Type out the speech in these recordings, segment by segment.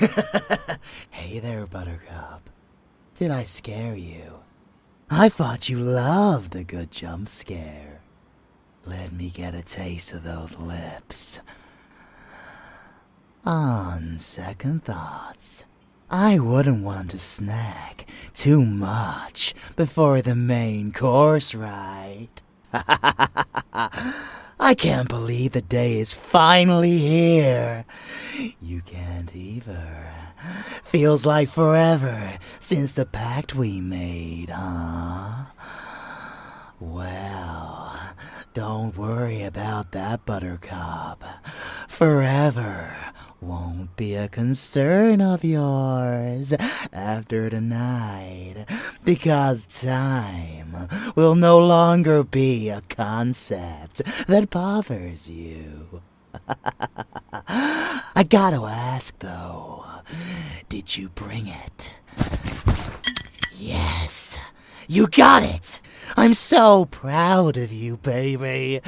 hey there, Buttercup. Did I scare you? I thought you loved the good jump scare. Let me get a taste of those lips. On second thoughts, I wouldn't want to snack too much before the main course, right? I can't believe the day is finally here. You can't either. Feels like forever since the pact we made, huh? Well, don't worry about that, Buttercup. Forever won't be a concern of yours after tonight, because time will no longer be a concept that bothers you. I gotta ask though, did you bring it? Yes. You got it! I'm so proud of you, baby.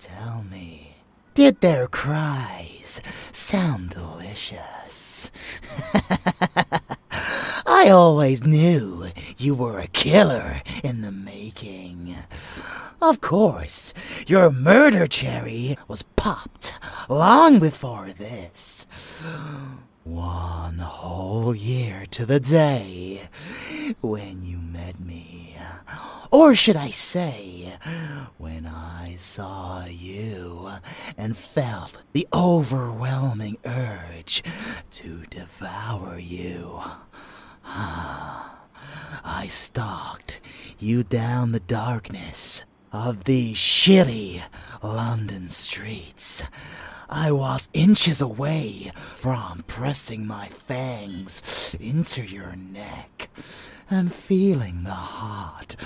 Tell me, did their cries sound delicious? I always knew you were a killer in the making. Of course, your murder cherry was popped long before this. One whole year to the day when you met me. Or should I say, when I saw you and felt the overwhelming urge to devour you. Ah, I stalked you down the darkness of these shitty London streets. I was inches away from pressing my fangs into your neck and feeling the hot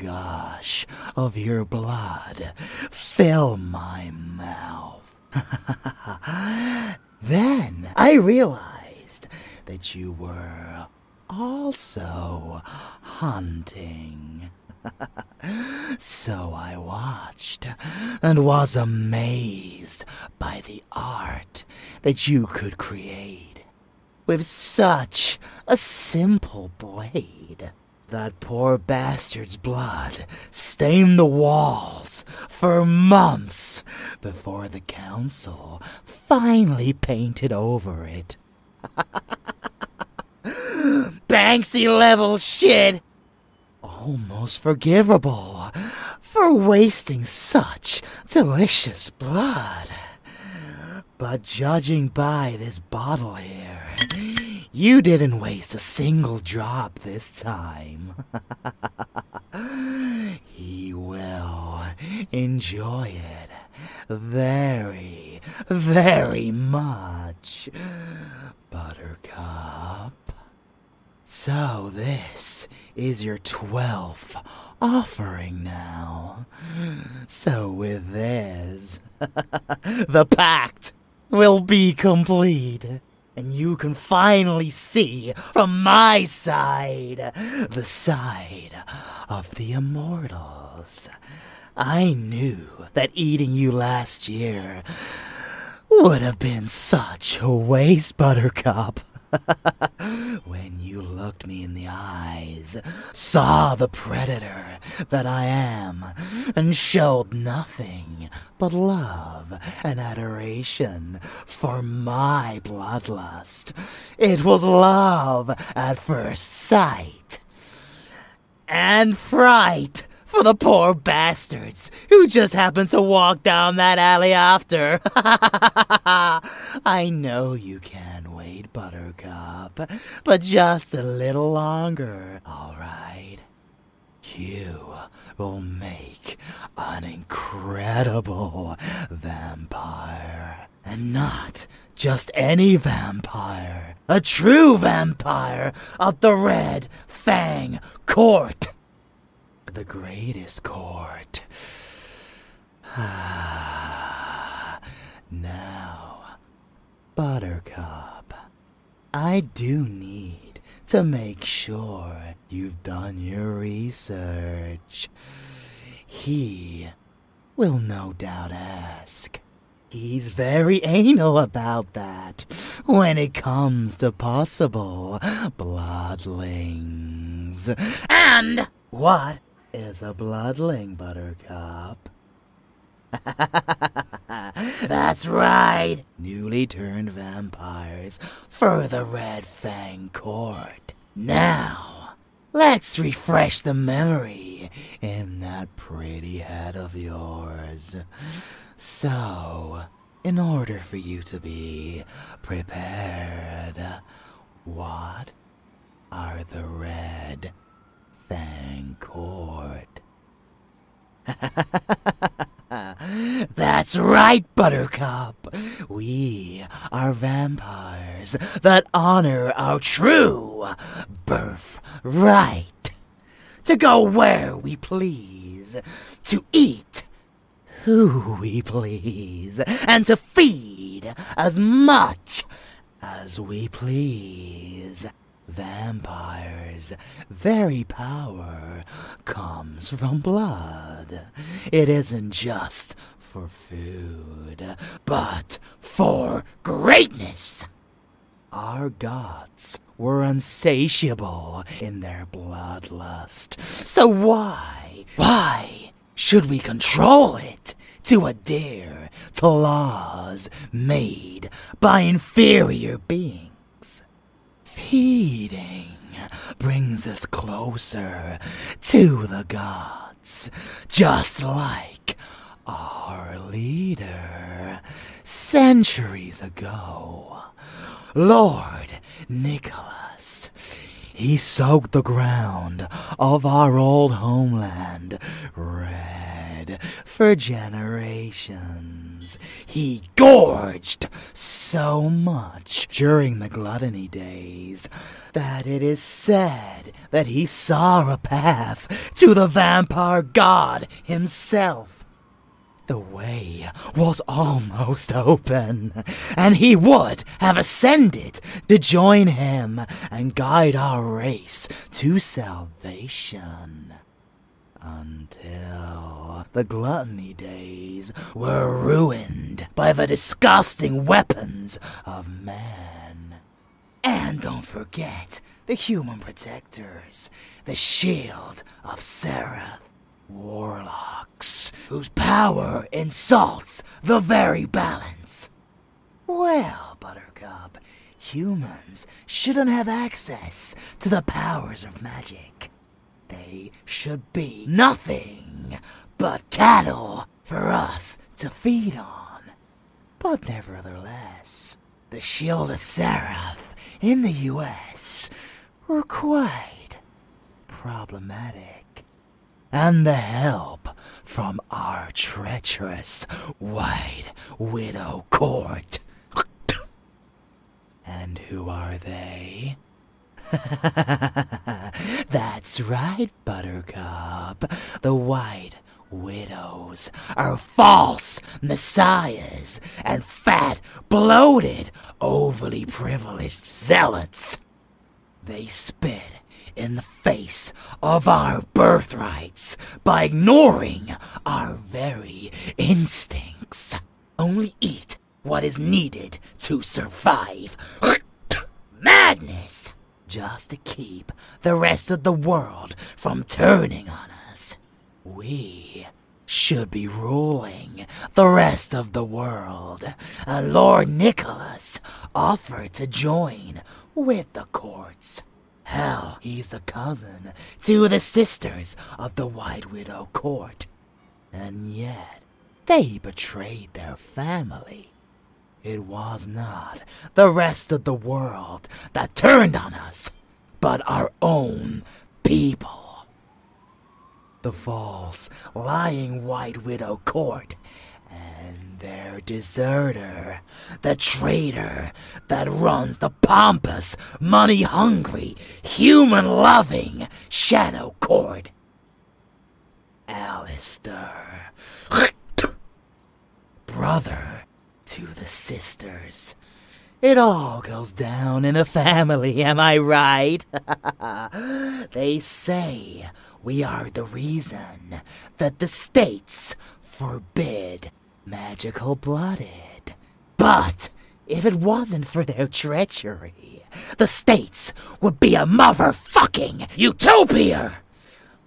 gush of your blood fill my mouth. then I realized that you were also hunting so I watched and was amazed by the art that you could create with such a simple blade. That poor bastard's blood stained the walls for months before the council finally painted over it. Banksy level shit! almost forgivable for wasting such delicious blood. But judging by this bottle here, you didn't waste a single drop this time. he will enjoy it very, very much. Buttercup. So, this is your twelfth offering now. So, with this, the pact will be complete, and you can finally see from my side the side of the immortals. I knew that eating you last year would have been such a waste, Buttercup. when you looked me in the eyes, saw the predator that I am, and showed nothing but love and adoration for my bloodlust, it was love at first sight and fright for the poor bastards who just happened to walk down that alley after. I know you can wait, Buttercup, but just a little longer, all right? You will make an incredible vampire. And not just any vampire, a true vampire of the red Fang Court. The greatest court. Ah, now, Buttercup, I do need to make sure you've done your research. He will no doubt ask. He's very anal about that when it comes to possible bloodlings. And what is a bloodling, Buttercup? That's right! Newly turned vampires for the Red Fang Court. Now, let's refresh the memory in that pretty head of yours. So, in order for you to be prepared, what are the red Thancourt? That's right, Buttercup. We are vampires that honor our true birth. Right to go where we please, to eat who we please, and to feed as much as we please. Vampires, very power comes from blood. It isn't just for food, but for greatness. Our gods were unsatiable in their bloodlust. So why, why should we control it to adhere to laws made by inferior beings? Feeding brings us closer to the gods, just like our leader centuries ago Lord Nicholas. He soaked the ground of our old homeland red for generations. He gorged so much during the gluttony days that it is said that he saw a path to the vampire god himself. The way was almost open, and he would have ascended to join him and guide our race to salvation. Until the gluttony days were ruined by the disgusting weapons of man. And don't forget, the human protectors, the shield of Seraph. Warlocks, whose power insults the very balance. Well, Buttercup, humans shouldn't have access to the powers of magic. They should be nothing but cattle for us to feed on. But nevertheless, the Shield of Seraph in the US were quite problematic. And the help from our treacherous White Widow Court. and who are they? That's right, Buttercup. The White Widows are false messiahs and fat, bloated, overly privileged zealots. They spit in the face of our birthrights by ignoring our very instincts. Only eat what is needed to survive. Madness! Just to keep the rest of the world from turning on us. We should be ruling the rest of the world. Uh, Lord Nicholas offered to join with the courts. Hell, he's the cousin to the sisters of the White Widow court. And yet, they betrayed their family. It was not the rest of the world that turned on us but our own people. The false, lying White Widow Cord, and their deserter, the traitor that runs the pompous, money hungry, human loving Shadow Cord, Alister, brother to the sisters, it all goes down in the family, am I right? they say we are the reason that the states forbid magical blooded. But if it wasn't for their treachery, the states would be a motherfucking utopia!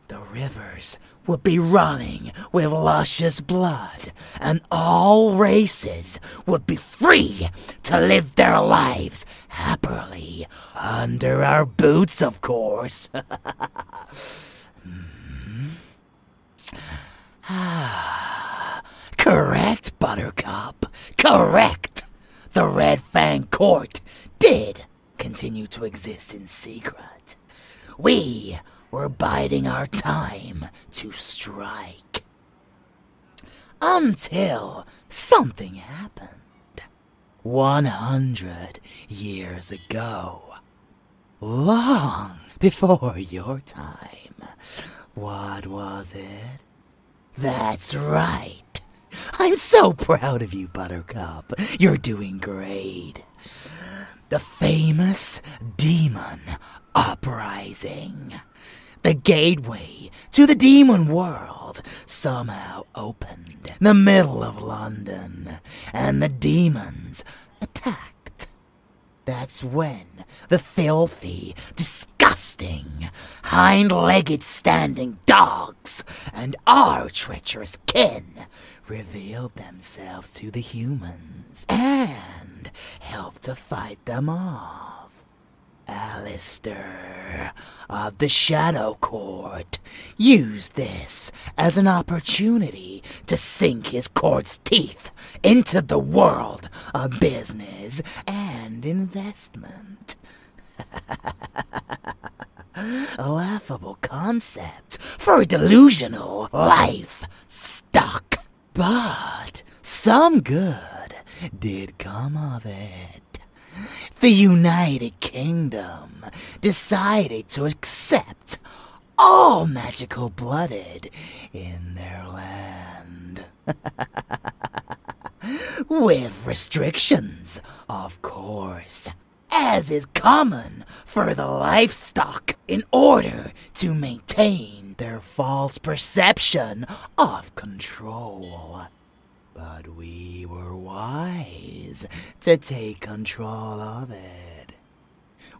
The rivers would be running with luscious blood and all races would be free to live their lives happily. Under our boots, of course. Hmm. Correct, Buttercup. Correct. The Red Fang Court did continue to exist in secret. We were biding our time to strike. Until something happened 100 years ago. Long before your time. What was it? That's right. I'm so proud of you, Buttercup. You're doing great. The famous demon uprising. The gateway to the demon world somehow opened in the middle of London, and the demons attacked. That's when the filthy, disgusting, hind legged standing dogs and our treacherous kin revealed themselves to the humans and help to fight them off. Alistair of the Shadow Court used this as an opportunity to sink his court's teeth into the world of business and investment. a laughable concept for a delusional life stuck but some good did come of it. The United Kingdom decided to accept all magical blooded in their land. With restrictions, of course, as is common for the livestock in order to maintain their false perception of control. But we were wise to take control of it.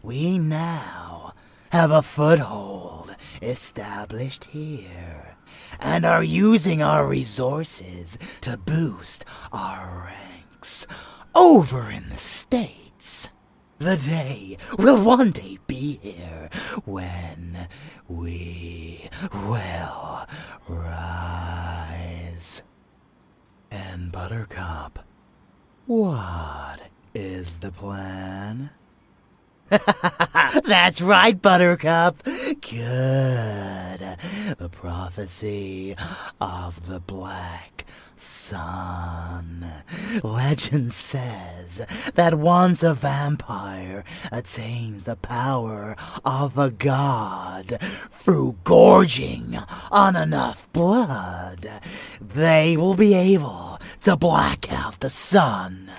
We now have a foothold established here and are using our resources to boost our ranks over in the States. The day will one day be here when we will rise. And Buttercup, what is the plan? That's right, Buttercup. Good. The prophecy of the Black Sun. Legend says that once a vampire attains the power of a god through gorging on enough blood, they will be able to black out the sun,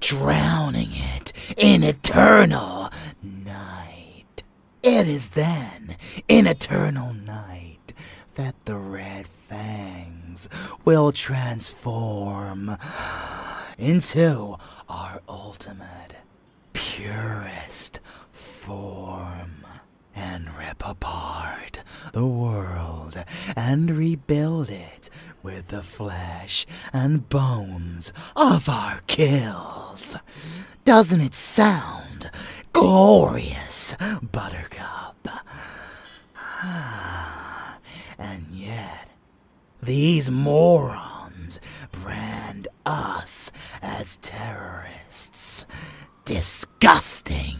drowning it in eternal night. It is then in eternal night that the red fangs will transform into our ultimate, purest form and rip apart the world and rebuild it with the flesh and bones of our kills. Doesn't it sound glorious, Buttercup? and yet, these morons brand us as terrorists. Disgusting!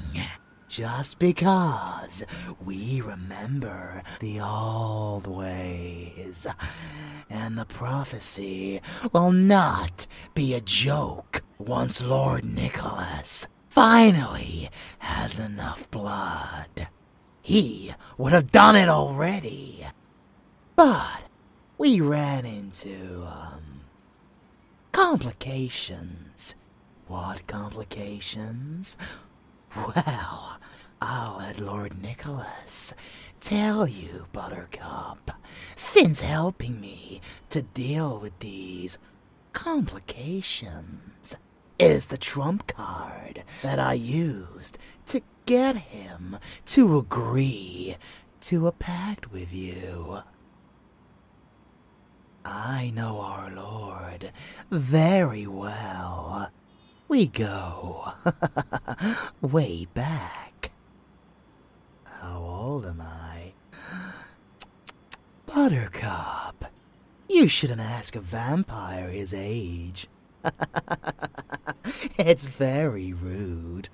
Just because we remember the old ways. And the prophecy will not be a joke once Lord Nicholas finally has enough blood. He would have done it already. But we ran into, um, complications. What complications? Well, I'll let Lord Nicholas tell you, Buttercup, since helping me to deal with these complications is the trump card that I used to get him to agree to a pact with you. I know our Lord very well. We go way back. How old am I? Buttercup. You shouldn't ask a vampire his age. it's very rude.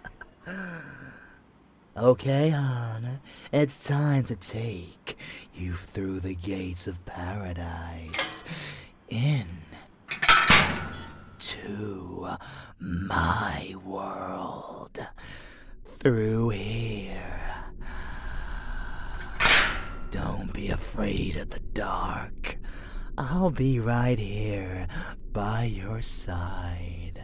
okay, Han, it's time to take you through the gates of paradise. In to my world through here. Don't be afraid of the dark. I'll be right here by your side.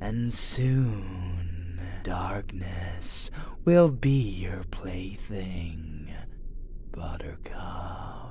And soon, darkness will be your plaything, Buttercup.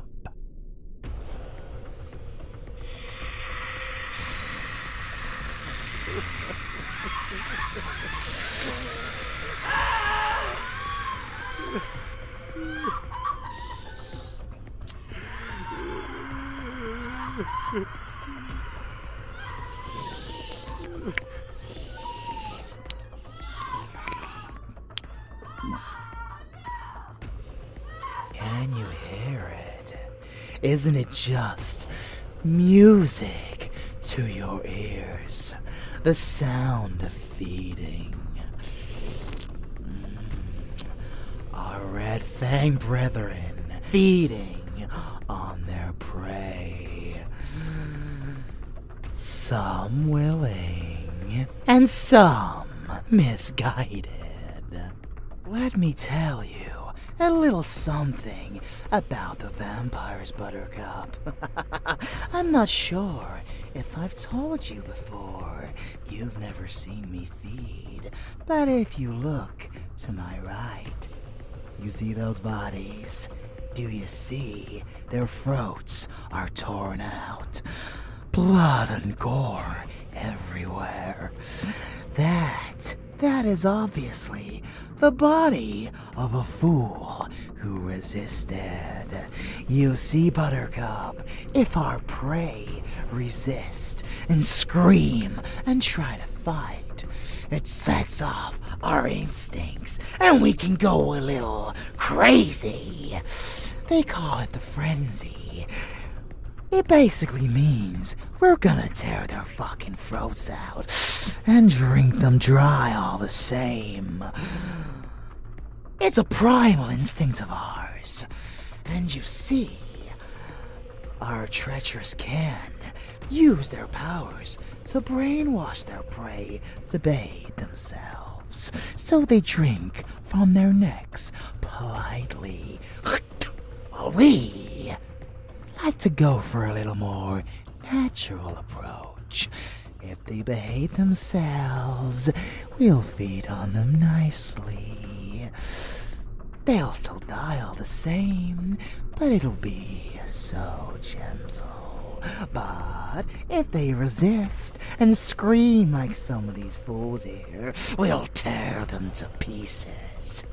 Can you hear it? Isn't it just music to your ears? The sound of feeding. Mm. Our Red Fang brethren feeding on their prey. Some willing, and some misguided. Let me tell you, a little something about the vampires, Buttercup. I'm not sure if I've told you before. You've never seen me feed, but if you look to my right, you see those bodies. Do you see? Their throats are torn out. Blood and gore everywhere. That that is obviously the body of a fool who resisted. You see, Buttercup, if our prey resist and scream and try to fight, it sets off our instincts and we can go a little crazy. They call it the frenzy. It basically means we're gonna tear their fucking throats out and drink them dry all the same. It's a primal instinct of ours. And you see, our treacherous can use their powers to brainwash their prey to bathe themselves. So they drink from their necks politely. While we like to go for a little more natural approach. If they behave themselves, we'll feed on them nicely. They'll still die all the same, but it'll be so gentle. But if they resist and scream like some of these fools here, we'll tear them to pieces.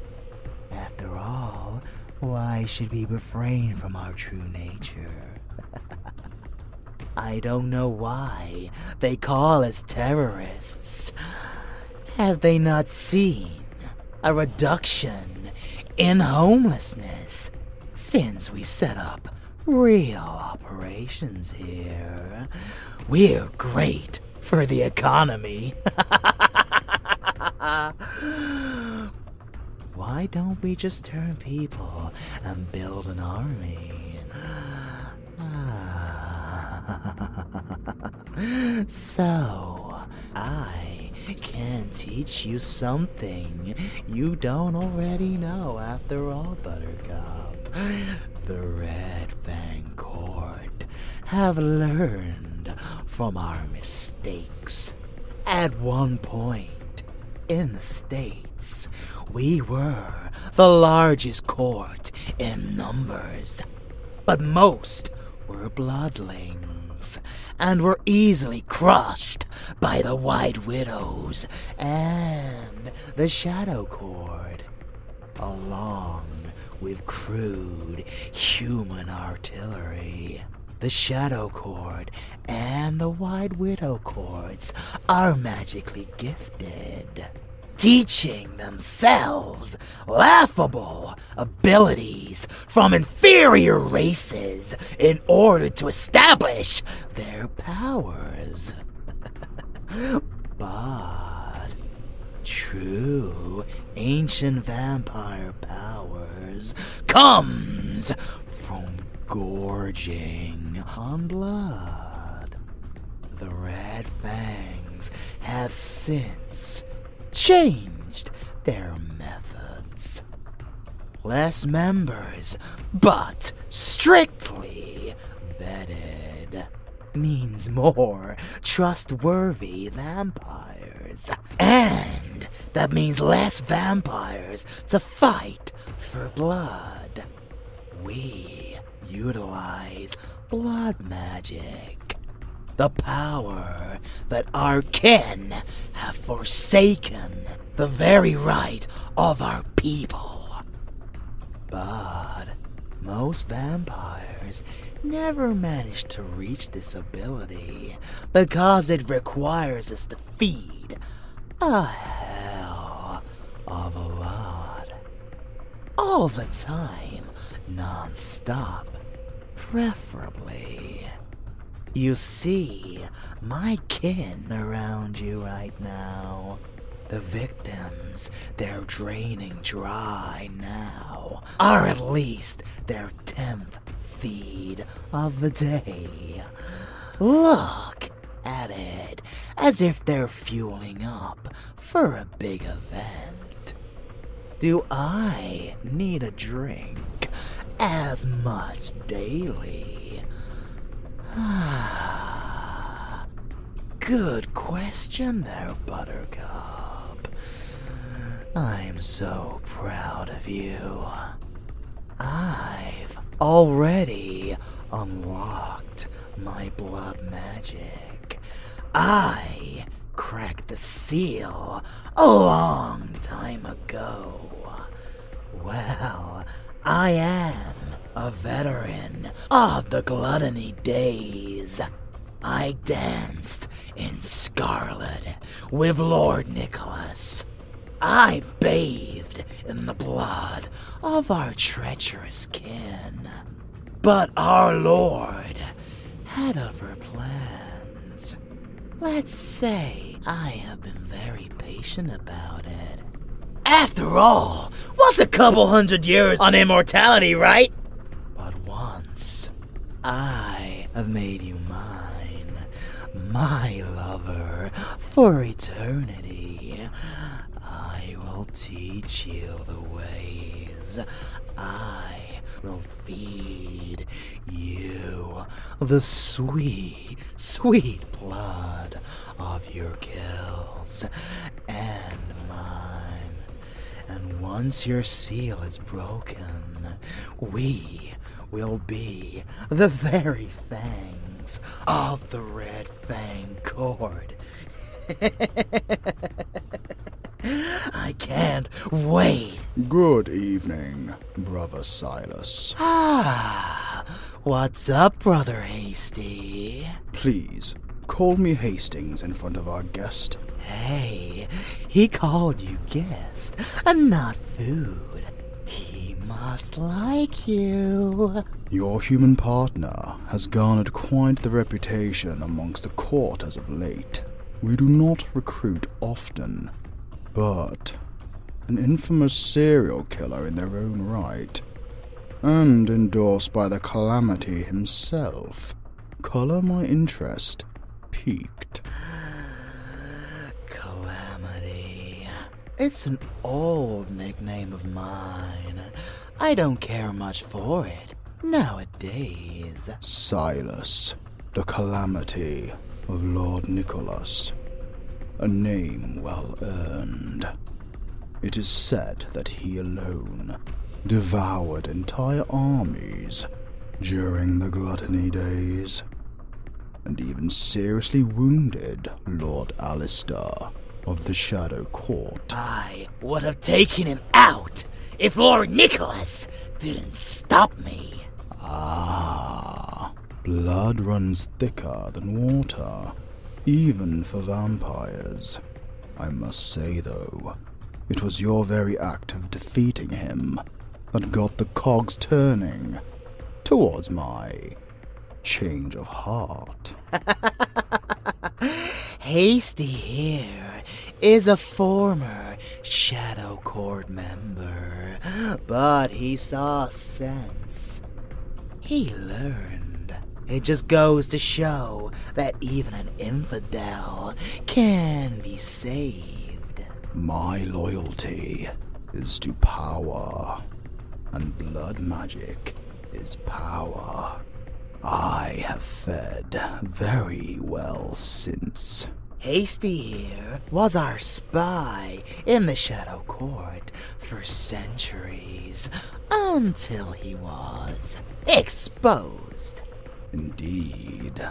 After all, why should we refrain from our true nature? I don't know why they call us terrorists. Have they not seen a reduction in homelessness since we set up real operations here? We're great for the economy. Why don't we just turn people and build an army? Ah. so, I can teach you something you don't already know after all, Buttercup. The Red Fang Court have learned from our mistakes at one point in the States, we were the largest court in numbers. But most were bloodlings and were easily crushed by the White Widows and the Shadow Cord, along with crude human artillery. The Shadow Cord and the Wide Widow Cords are magically gifted, teaching themselves laughable abilities from inferior races in order to establish their powers. but true ancient vampire powers comes from gorging on blood. The Red Fangs have since changed their methods. Less members, but strictly vetted means more trustworthy vampires and that means less vampires to fight for blood. We utilize blood magic. The power that our kin have forsaken the very right of our people. But most vampires never manage to reach this ability because it requires us to feed a hell of a lot. All the time, non stop, preferably. You see, my kin around you right now. The victims, they're draining dry now. Or at least their are feed of the day. Look at it, as if they're fueling up for a big event. Do I need a drink as much daily? Good question there, Buttercup. I'm so proud of you. I've already unlocked my blood magic. I cracked the seal a long time ago. Well, I am a veteran of the gluttony days. I danced in scarlet with Lord Nicholas. I bathed in the blood of our treacherous kin. But our Lord had other plans. Let's say I have been very patient about it. After all, what's a couple hundred years on immortality, right? But once, I have made you mine, my lover, for eternity. I will teach you the ways. I will feed you the sweet, sweet blood of your kills and mine. And once your seal is broken, we will be the very fangs of the Red Fang Cord. I can't wait. Good evening, Brother Silas. Ah, what's up, Brother Hasty? Please, call me Hastings in front of our guest. Hey, he called you guest and not food. He must like you. Your human partner has garnered quite the reputation amongst the court as of late. We do not recruit often, but an infamous serial killer in their own right, and endorsed by the Calamity himself, color my interest peaked. Calamity. It's an old nickname of mine. I don't care much for it nowadays. Silas, the calamity of Lord Nicholas. A name well earned. It is said that he alone devoured entire armies during the gluttony days and even seriously wounded Lord Alistair of the Shadow Court. I would have taken him out if Lord Nicholas didn't stop me. Ah, blood runs thicker than water, even for vampires. I must say, though, it was your very act of defeating him that got the cogs turning towards my change of heart. Hasty here is a former Shadow Court member, but he saw sense. He learned. It just goes to show that even an infidel can be saved. My loyalty is to power, and blood magic is power. I have fed very well since. Hasty here was our spy in the Shadow Court for centuries, until he was exposed. Indeed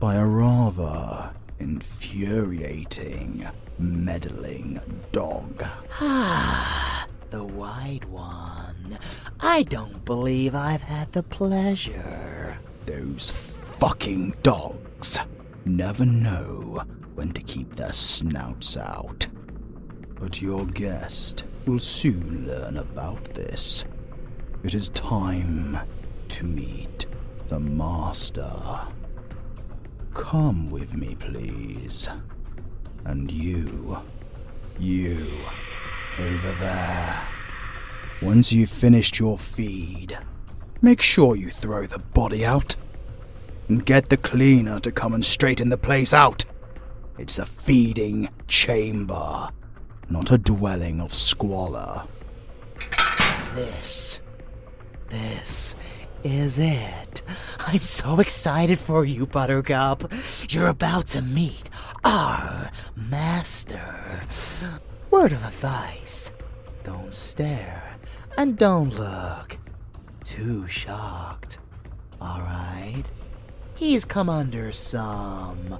by a rather infuriating, meddling dog. Ah, the white one. I don't believe I've had the pleasure. Those fucking dogs never know when to keep their snouts out. But your guest will soon learn about this. It is time to meet the Master. Come with me, please. And you, you, over there. Once you've finished your feed, make sure you throw the body out. And get the cleaner to come and straighten the place out. It's a feeding chamber, not a dwelling of squalor. This. This is it. I'm so excited for you, Buttercup. You're about to meet our master. Word of advice don't stare and don't look too shocked. Alright? He's come under some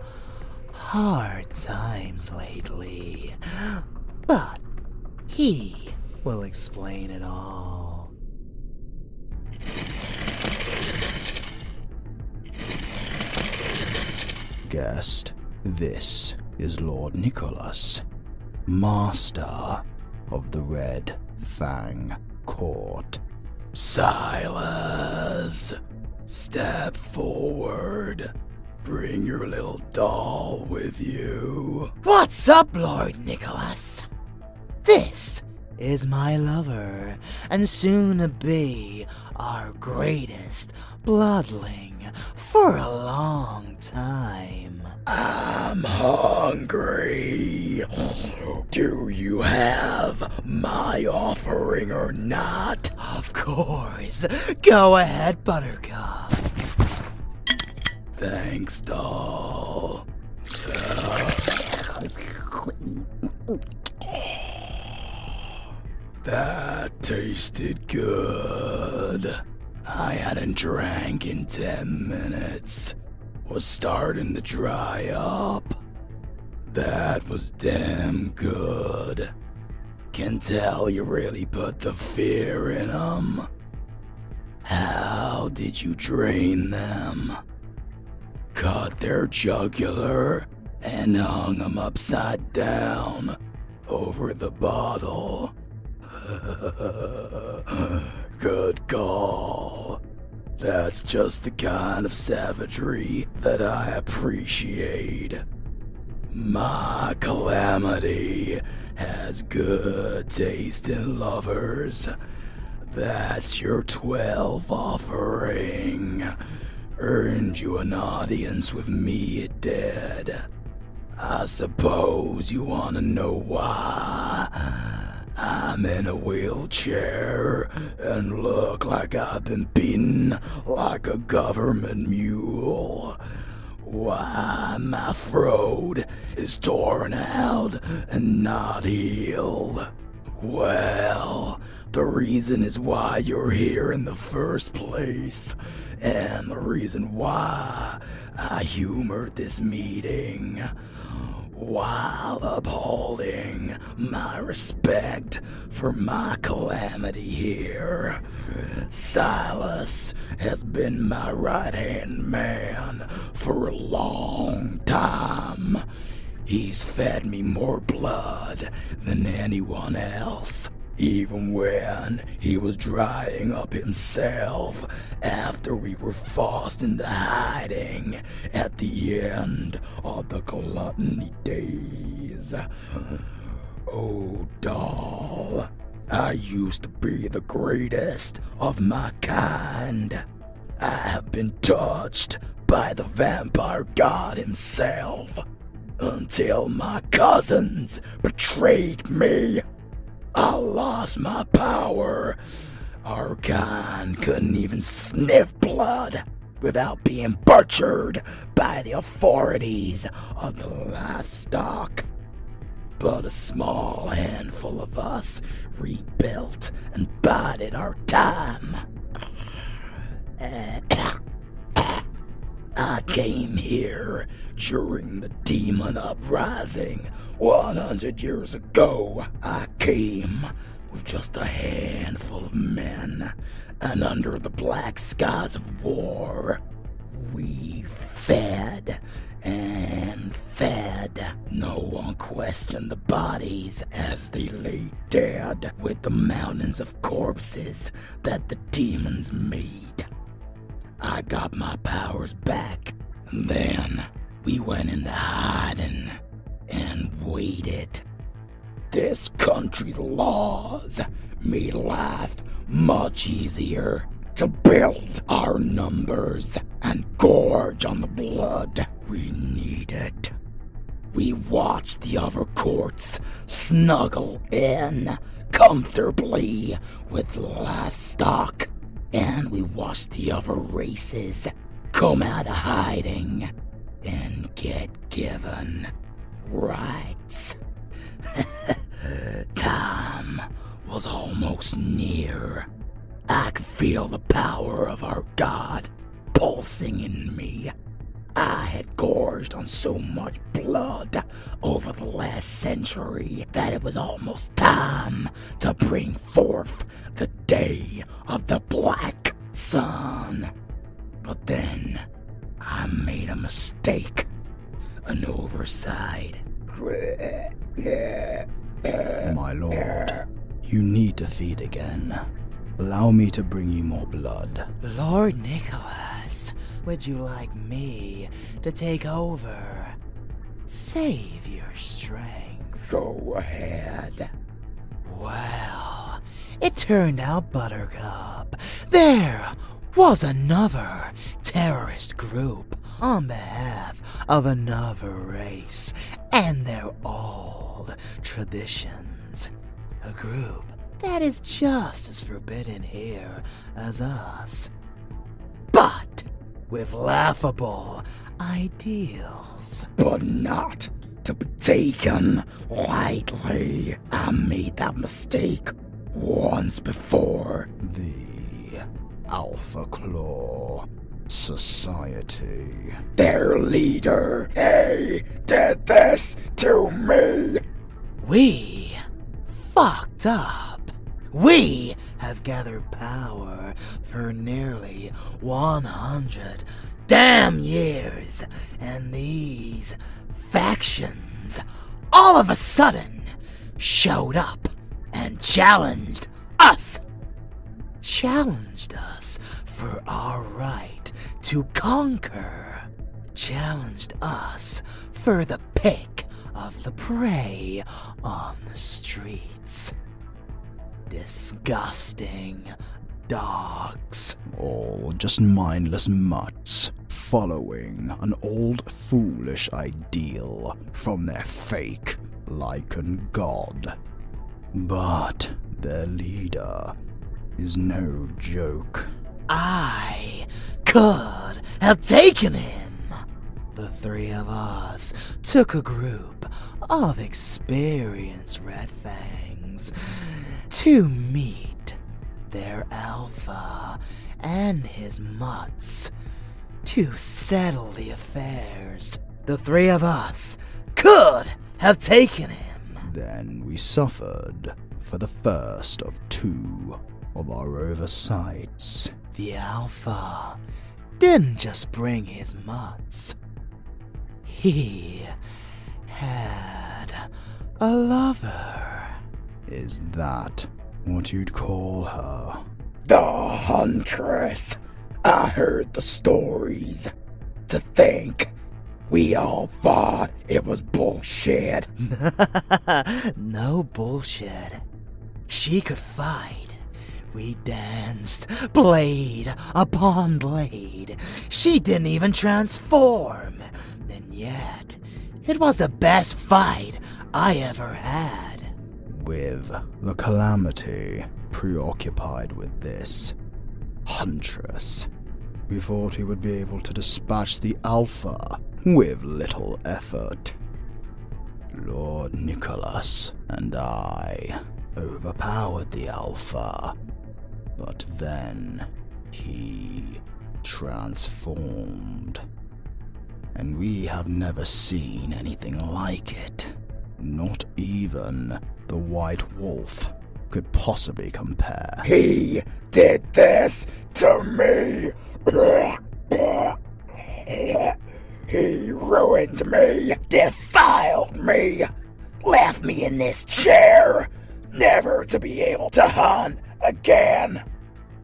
hard times lately. But he will explain it all. Guest, this is Lord Nicholas, Master of the Red Fang Court. Silas, step forward. Bring your little doll with you. What's up, Lord Nicholas? This is my lover, and soon to be our greatest bloodling for a long time. I'm hungry. Do you have my offering or not? Of course. Go ahead buttercup. Thanks, doll. That tasted good. I hadn't drank in 10 minutes. Was starting to dry up. That was damn good. Can tell you really put the fear in them. How did you drain them? Cut their jugular and hung them upside down over the bottle. Good call. That's just the kind of savagery that I appreciate. My calamity has good taste in lovers. That's your 12 offering. Earned you an audience with me dead. I suppose you want to know why. I'm in a wheelchair and look like I've been beaten like a government mule. Why my throat is torn out and not healed. Well, the reason is why you're here in the first place, and the reason why I humored this meeting while upholding my respect for my calamity here. Silas has been my right hand man for a long time. He's fed me more blood than anyone else. Even when he was drying up himself after we were forced into hiding at the end of the gluttony days. Oh, doll. I used to be the greatest of my kind. I have been touched by the vampire god himself until my cousins betrayed me. I lost my power. Our kind couldn't even sniff blood without being butchered by the authorities of the livestock. But a small handful of us rebuilt and bided our time. I came here during the demon uprising 100 years ago. I came with just a handful of men and under the black skies of war, we fed and fed. No one questioned the bodies as they lay dead with the mountains of corpses that the demons made. I got my powers back. And then we went into hiding and waited. This country's laws made life much easier to build our numbers and gorge on the blood we need it. We watch the other courts snuggle in comfortably with livestock, and we watch the other races come out of hiding and get given right lights. Tom was almost near. I could feel the power of our god pulsing in me. I had gorged on so much blood over the last century that it was almost time to bring forth the day of the black sun. But then I made a mistake. An oversight. My lord, you need to feed again. Allow me to bring you more blood. Lord Nicholas, would you like me to take over? Save your strength. Go ahead. Well, it turned out Buttercup. There! was another terrorist group on behalf of another race and their old traditions. A group that is just as forbidden here as us, but with laughable ideals. But not to be taken lightly. I made that mistake once before. The Alpha Claw Society. Their leader, A, did this to me. We fucked up. We have gathered power for nearly 100 damn years, and these factions all of a sudden showed up and challenged us. Challenged us for our right to conquer. Challenged us for the pick of the prey on the streets. Disgusting dogs. Oh, just mindless mutts following an old foolish ideal from their fake Lycan god. But their leader is no joke. I could have taken him. The three of us took a group of experienced Red Fangs to meet their alpha and his mutts to settle the affairs. The three of us could have taken him. Then we suffered for the first of two of our oversights. The Alpha didn't just bring his mutts, he had a lover. Is that what you'd call her? The Huntress. I heard the stories. To think we all thought it was bullshit. no bullshit. She could fight. We danced blade upon blade. She didn't even transform. And yeah, it was the best fight I ever had. With the Calamity preoccupied with this Huntress, we thought we would be able to dispatch the Alpha with little effort. Lord Nicholas and I overpowered the Alpha, but then he transformed. And we have never seen anything like it. Not even the White Wolf could possibly compare. He did this to me! he ruined me, defiled me, left me in this chair, never to be able to hunt again.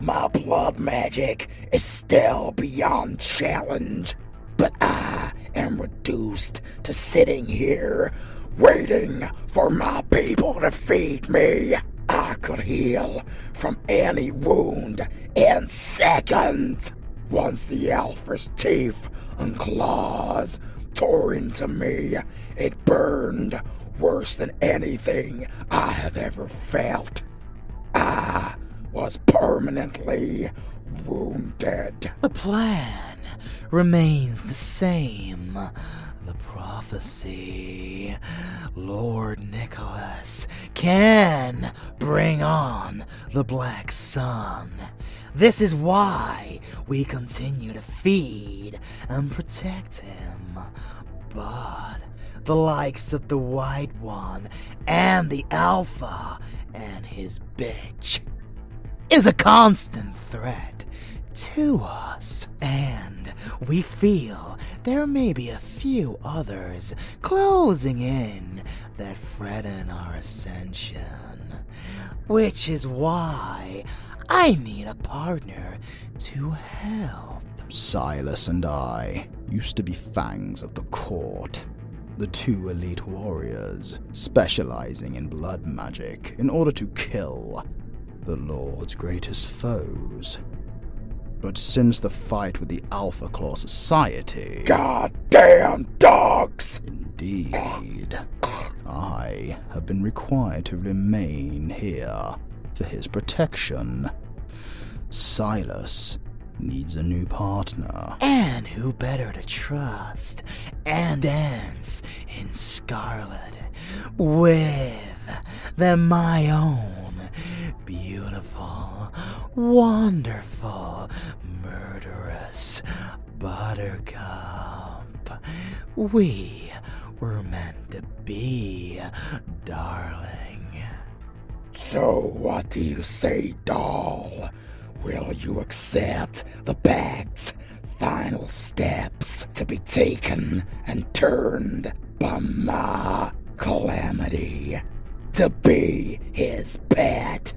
My blood magic is still beyond challenge, but I am reduced to sitting here waiting for my people to feed me. I could heal from any wound in seconds. Once the alpha's teeth and claws tore into me, it burned worse than anything I have ever felt. I was permanently wounded. The plan remains the same. The prophecy. Lord Nicholas can bring on the Black Sun. This is why we continue to feed and protect but the likes of the White One and the Alpha and his bitch is a constant threat to us. And we feel there may be a few others closing in that threaten our ascension. Which is why I need a partner to help. Silas and I used to be fangs of the court. The two elite warriors, specializing in blood magic in order to kill the Lord's greatest foes. But since the fight with the Alpha Claw Society. Goddamn dogs! Indeed. I have been required to remain here for his protection. Silas needs a new partner. And who better to trust and dance in scarlet with than my own beautiful, wonderful, murderous buttercup? We we're meant to be, darling. So, what do you say, doll? Will you accept the pact's final steps to be taken and turned by my calamity? To be his pet,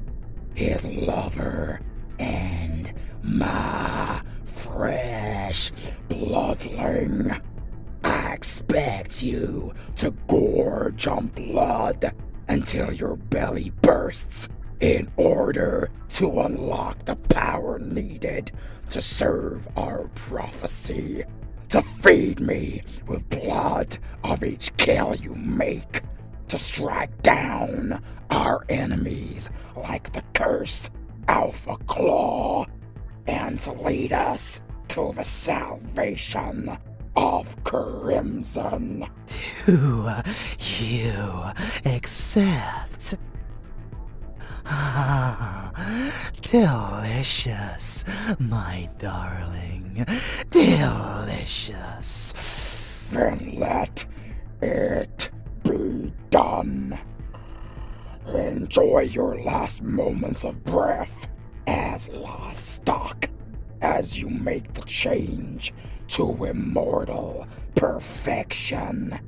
his lover, and my fresh bloodling. I expect you to gorge on blood until your belly bursts in order to unlock the power needed to serve our prophecy. To feed me with blood of each kill you make. To strike down our enemies like the cursed Alpha Claw and lead us to the salvation of Crimson. Do you accept? delicious, my darling. Delicious. Then let it be done. Enjoy your last moments of breath as livestock as you make the change to immortal perfection.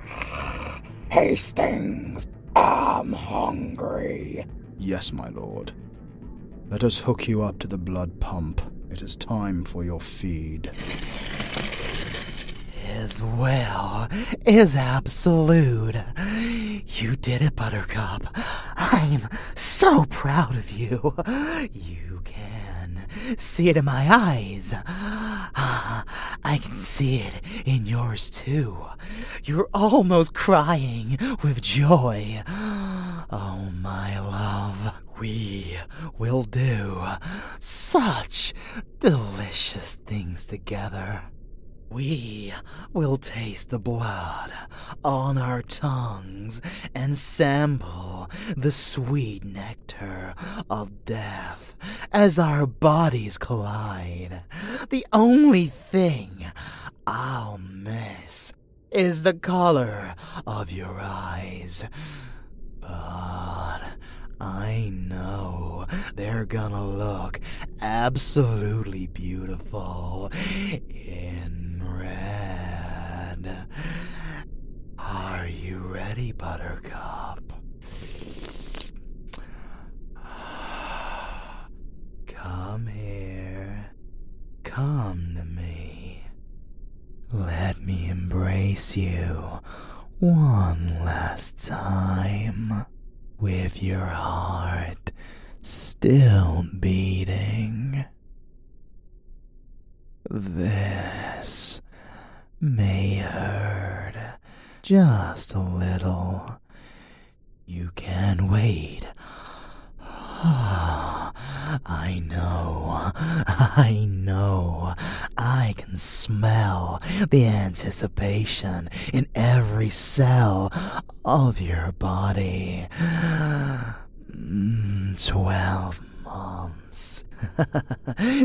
Hastings, I'm hungry. Yes, my lord. Let us hook you up to the blood pump. It is time for your feed. His will is absolute. You did it, Buttercup. I'm so proud of you. You can see it in my eyes. Ah, I can see it in yours, too. You're almost crying with joy. Oh, my love, we will do such delicious things together. We will taste the blood on our tongues and sample the sweet nectar of death as our bodies collide. The only thing I'll miss is the color of your eyes. But I know they're gonna look absolutely beautiful in red. Are you ready, Buttercup? Come here. Come to me. Let me embrace you one last time with your heart still beating. This may hurt just a little. You can wait. I know, I know, I can smell the anticipation in every cell of your body. Mm, 12 months.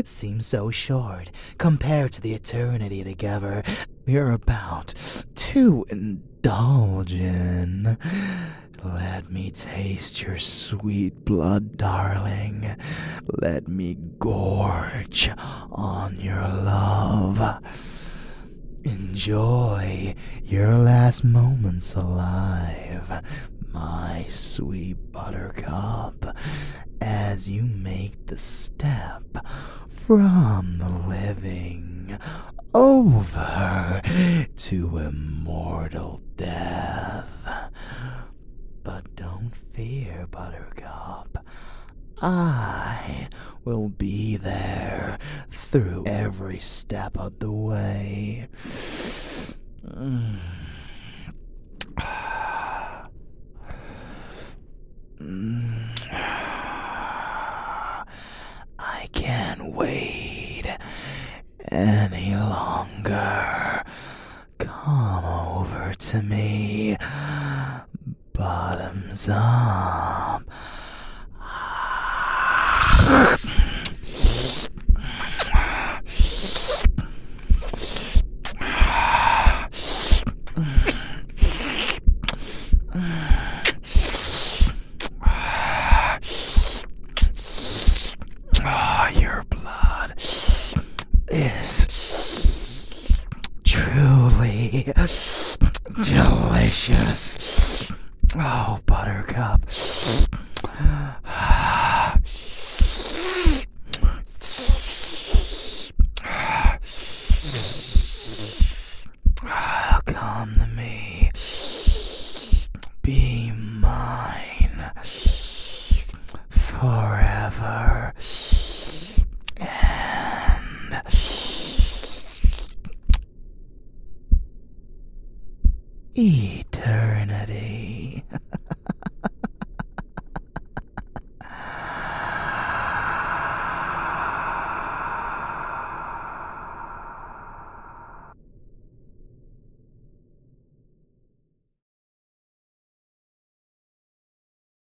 Seems so short compared to the eternity together we're about to indulge in. Let me taste your sweet blood, darling. Let me gorge on your love. Enjoy your last moments alive, my sweet buttercup, as you make the step from the living over to immortal death. But don't fear, buttercup. I will be there through every step of the way. I can't wait any longer. Come over to me bottoms up. Oh, your blood is Truly delicious. Oh, Buttercup. Come to me. Be mine forever. And eternity.